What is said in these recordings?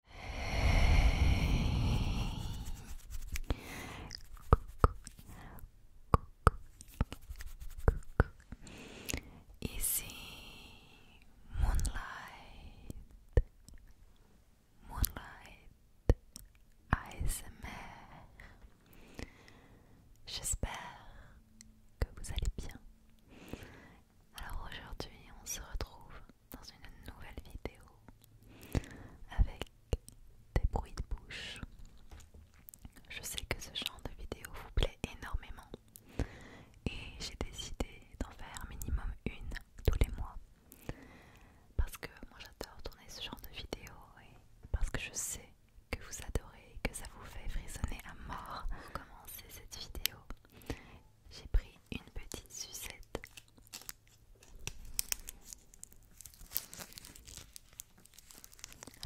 Hey. Coucou. Coucou. Moonlight Moonlight ASMR J'espère que vous allez bien. Alors aujourd'hui on se retrouve dans une nouvelle vidéo avec des bruits de bouche. Je sais que ce genre de vidéo vous plaît énormément et j'ai décidé d'en faire minimum une tous les mois parce que moi j'adore tourner ce genre de vidéo et parce que je sais que vous adorez, et que ça vous fait frissonner à mort. Pour commencer cette vidéo, j'ai pris une petite sucette.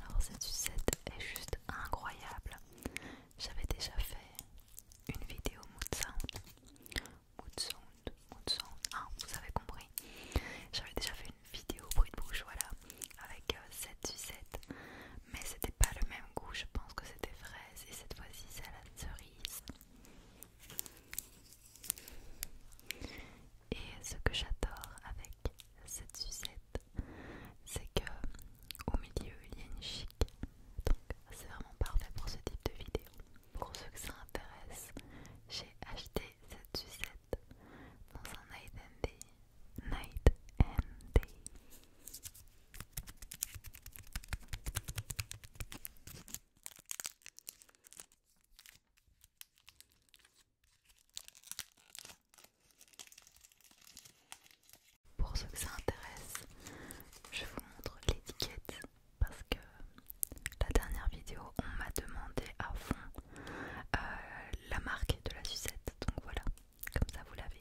Alors cette sucette est juste incroyable. J'avais déjà fait une vidéo mood sound. Mood sound, mood sound. Ah, vous avez compris. J'avais déjà fait une vidéo bruit de bouche, voilà, avec euh, cette sucette. Mais c'était pas le même goût, je pense que c'était fraise. Et cette fois-ci, c'est à la cerise. Et ce que j'adore avec cette sucette, c'est que au milieu il y a une chic. Donc c'est vraiment parfait pour ce type de vidéo. Pour ceux que ça intéresse, j'ai acheté cette sucette dans un night and day. Night and day. Pour ceux que ça intéresse, je vous montre l'étiquette parce que la dernière vidéo, on m'a demandé à fond euh, la marque de la sucette. Donc voilà, comme ça vous l'avez.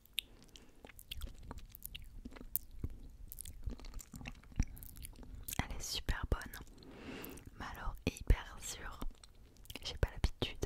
Elle est super bonne, mais alors hyper sûre. J'ai pas l'habitude.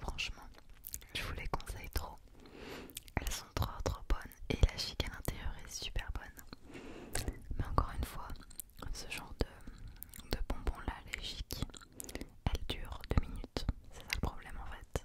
Franchement, je vous les conseille trop. Elles sont trop trop bonnes et la chic à l'intérieur est super bonne. Mais encore une fois, ce genre de, bonbons là, les chic, elles durent 2 minutes. C'est ça le problème en fait.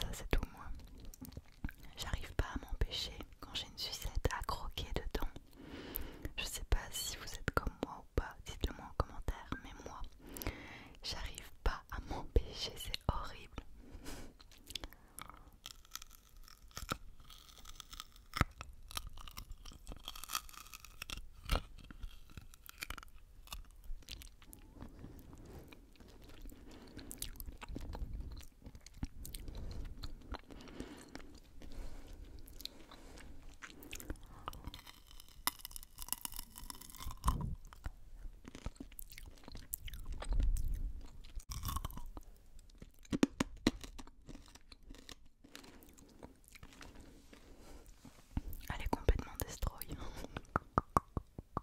Ça c'est tout moi. J'arrive pas à m'empêcher quand j'ai une sucette à croquer dedans. Je sais pas si vous êtes comme moi ou pas, dites-le moi en commentaire, mais moi, j'arrive pas à m'empêcher, c'est horrible. Elle est complètement destroy.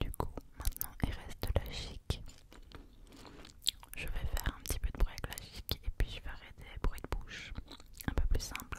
Du coup, maintenant il reste la chic. Je vais faire un petit peu de bruit avec la chic et puis je arrêter des bruits de bouche un peu plus simple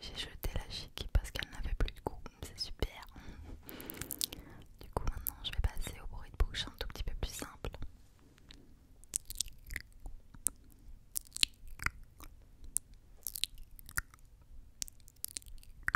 J'ai jeté la chic parce qu'elle n'avait plus de goût, c'est super. Du coup, maintenant je vais passer au bruit de bouche un tout petit peu plus simple.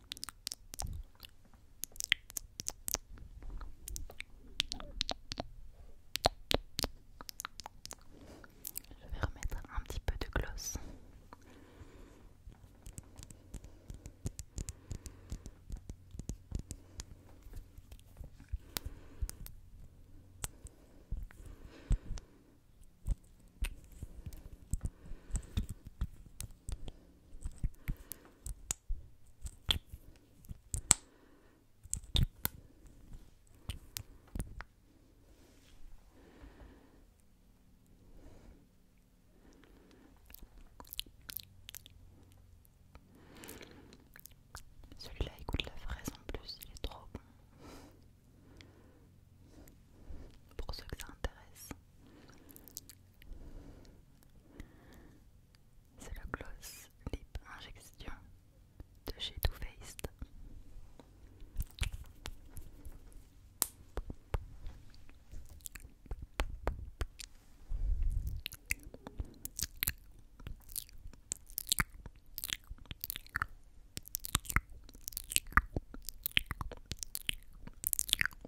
Je vais remettre un petit peu de gloss. Celui-là il goûte la fraise en plus, il est trop bon. Pour ceux que ça intéresse. C'est le gloss lip injection de chez Too Faced.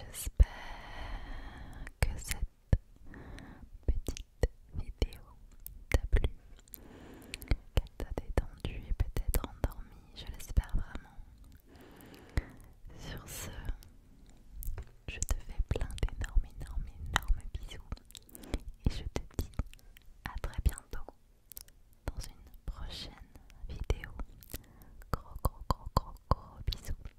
J'espère que cette petite vidéo t'a plu, qu'elle t'a détendu et peut-être endormi, je l'espère vraiment. Sur ce, je te fais plein d'énormes, énormes, énormes bisous et je te dis à très bientôt dans une prochaine vidéo. Gros, gros, gros, gros, gros bisous.